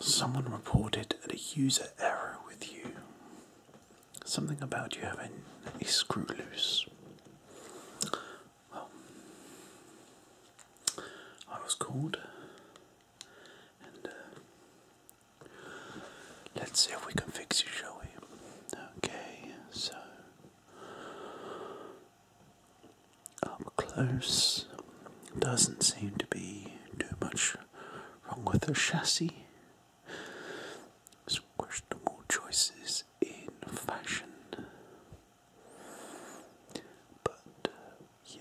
Someone reported a user error with you something about you having a screw loose. Well, I was called, and uh, let's see if we can fix you, shall Okay, so up close, doesn't seem to be too much wrong with the chassis. Some questionable choices in fashion. But uh, yeah,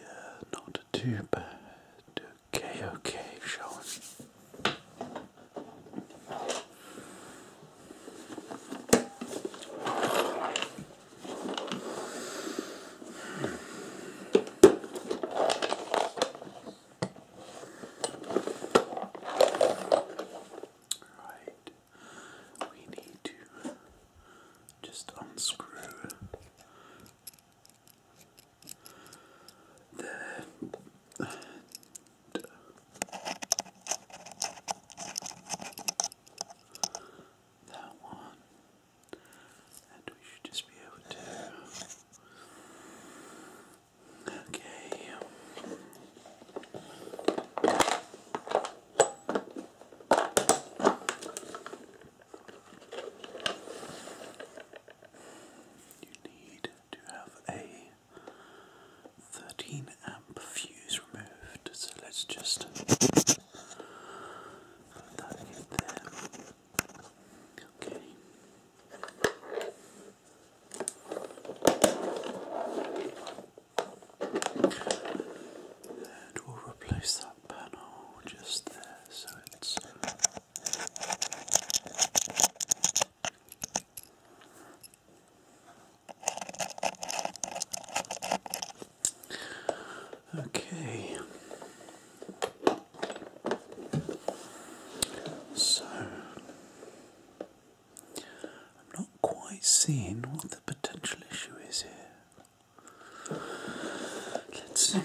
not too bad. Okay, okay, shall Right, we need to just unscrew That one, and we should just be able to Okay. You need to have a 13 amp fuse removed, so let's just put that in there. Okay. And we'll replace that panel just there so it's Okay. So, I'm not quite seeing what the potential issue is here. Let's see.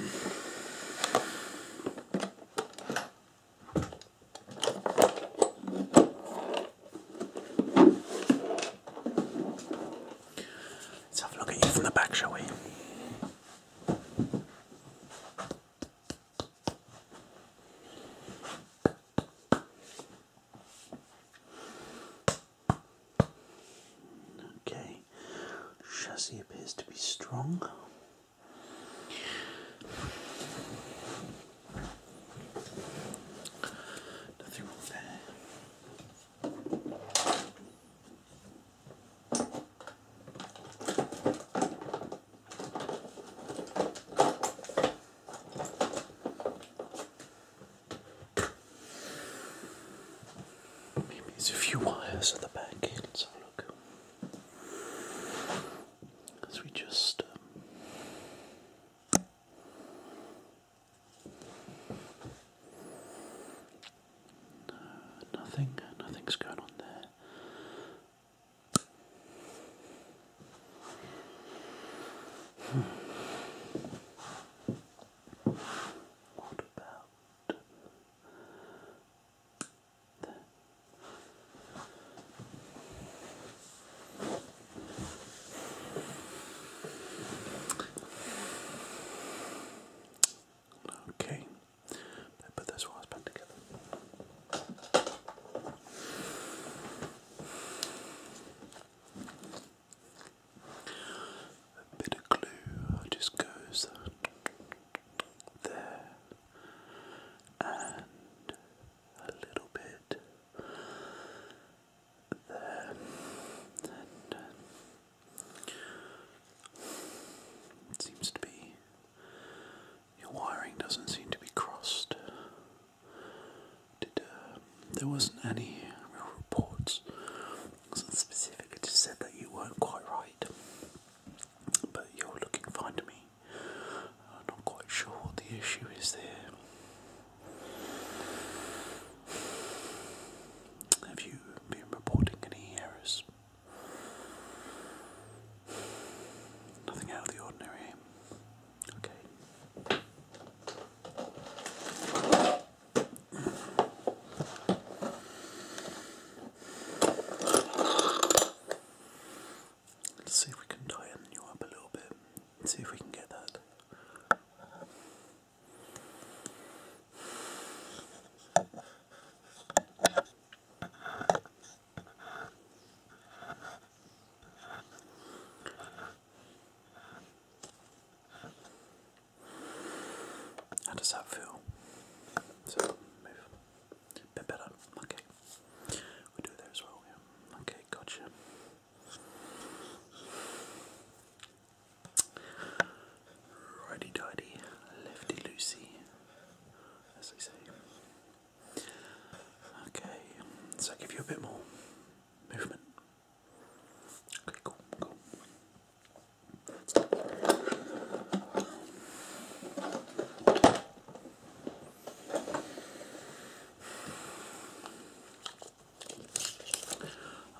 Let's have a look at you from the back, shall we? Okay, chassis appears to be strong. Nothing wrong there. Maybe there's a few wires at the back. Let's have a look. As we just. Um, nothing. Nothing's going on there. What about there? Okay, put those wires back together. A bit of glue just goes there, and a little bit there, it uh, seems to be your wiring doesn't seem to be crossed. Did, uh, there wasn't any real reports. Wasn't specific. It just said that you weren't quite right. But you're looking fine to me. I'm not quite sure what the issue is there. Have you been reporting any errors? Nothing out of the ordinary. Okay. Let's see if we can tighten you up a little bit. Let's see if we can get that. How does that feel? So move. A bit better. Okay. We do there as well, yeah. Okay, gotcha. Righty tighty, lefty loosey. Okay, so give you a bit more movement. Okay, cool, cool.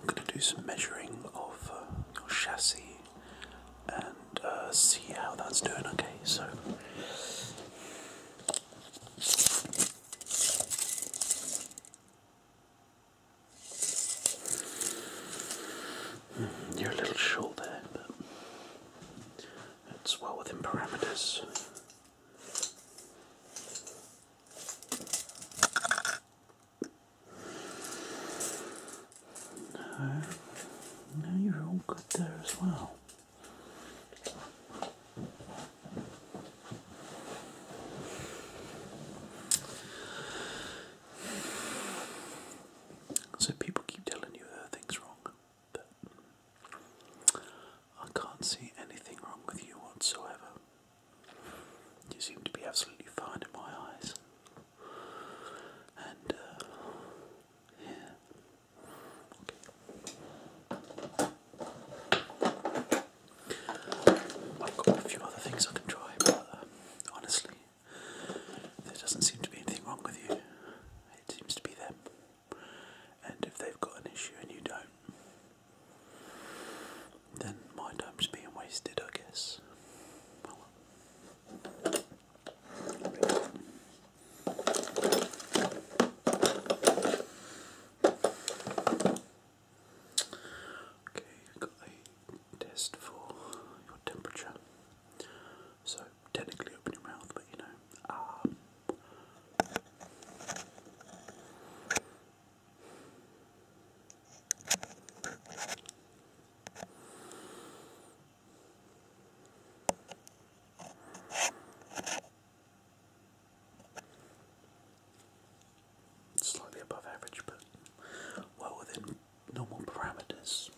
I'm going to do some measuring of uh, your chassis and uh, see how that's doing. Okay, so. Hmm, you're a little short there, but it's well within parameters. No. No, you're all good there as well. So people keep telling you things wrong, but I can't see anything wrong with you whatsoever. You seem to be absolutely fine in my eyes, and uh, I've got a few other things I can try, but uh, honestly, there doesn't seem to be anything wrong with you. It seems to be them. And if they've got an issue and you don't, then my time's being wasted, I guess. Oh Okay, got a test for your temperature. So technically open your mouth, but you know. Um, Slightly above average, but well within normal parameters.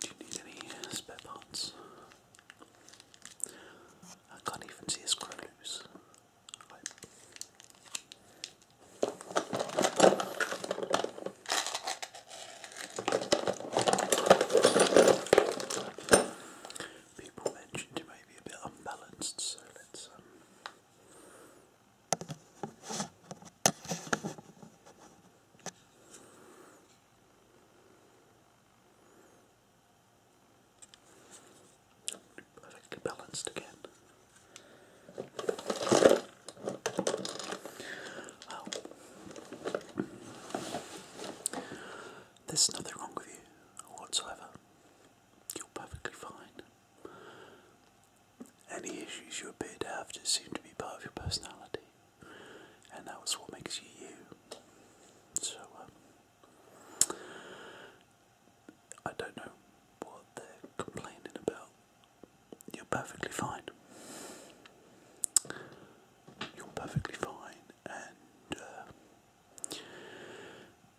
Do you need any spare I can't even see a screw loose. People mentioned it may be a bit unbalanced, so let's um, Perfectly balanced again. Well, there's nothing wrong with you whatsoever. You're perfectly fine. Any issues you appear to have just seem to be part of your personality and that was what makes you you. So, um, I don't know what they're complaining about. You're perfectly fine. You're perfectly fine, and uh,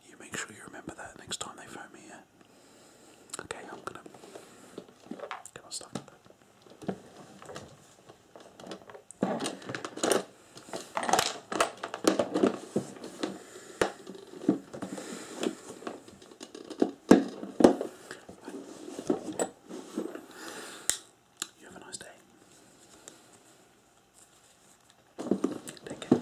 you make sure you remember that next time they phone me. Yeah? Okay, I'm gonna get on stuff. You have a nice day. Take care.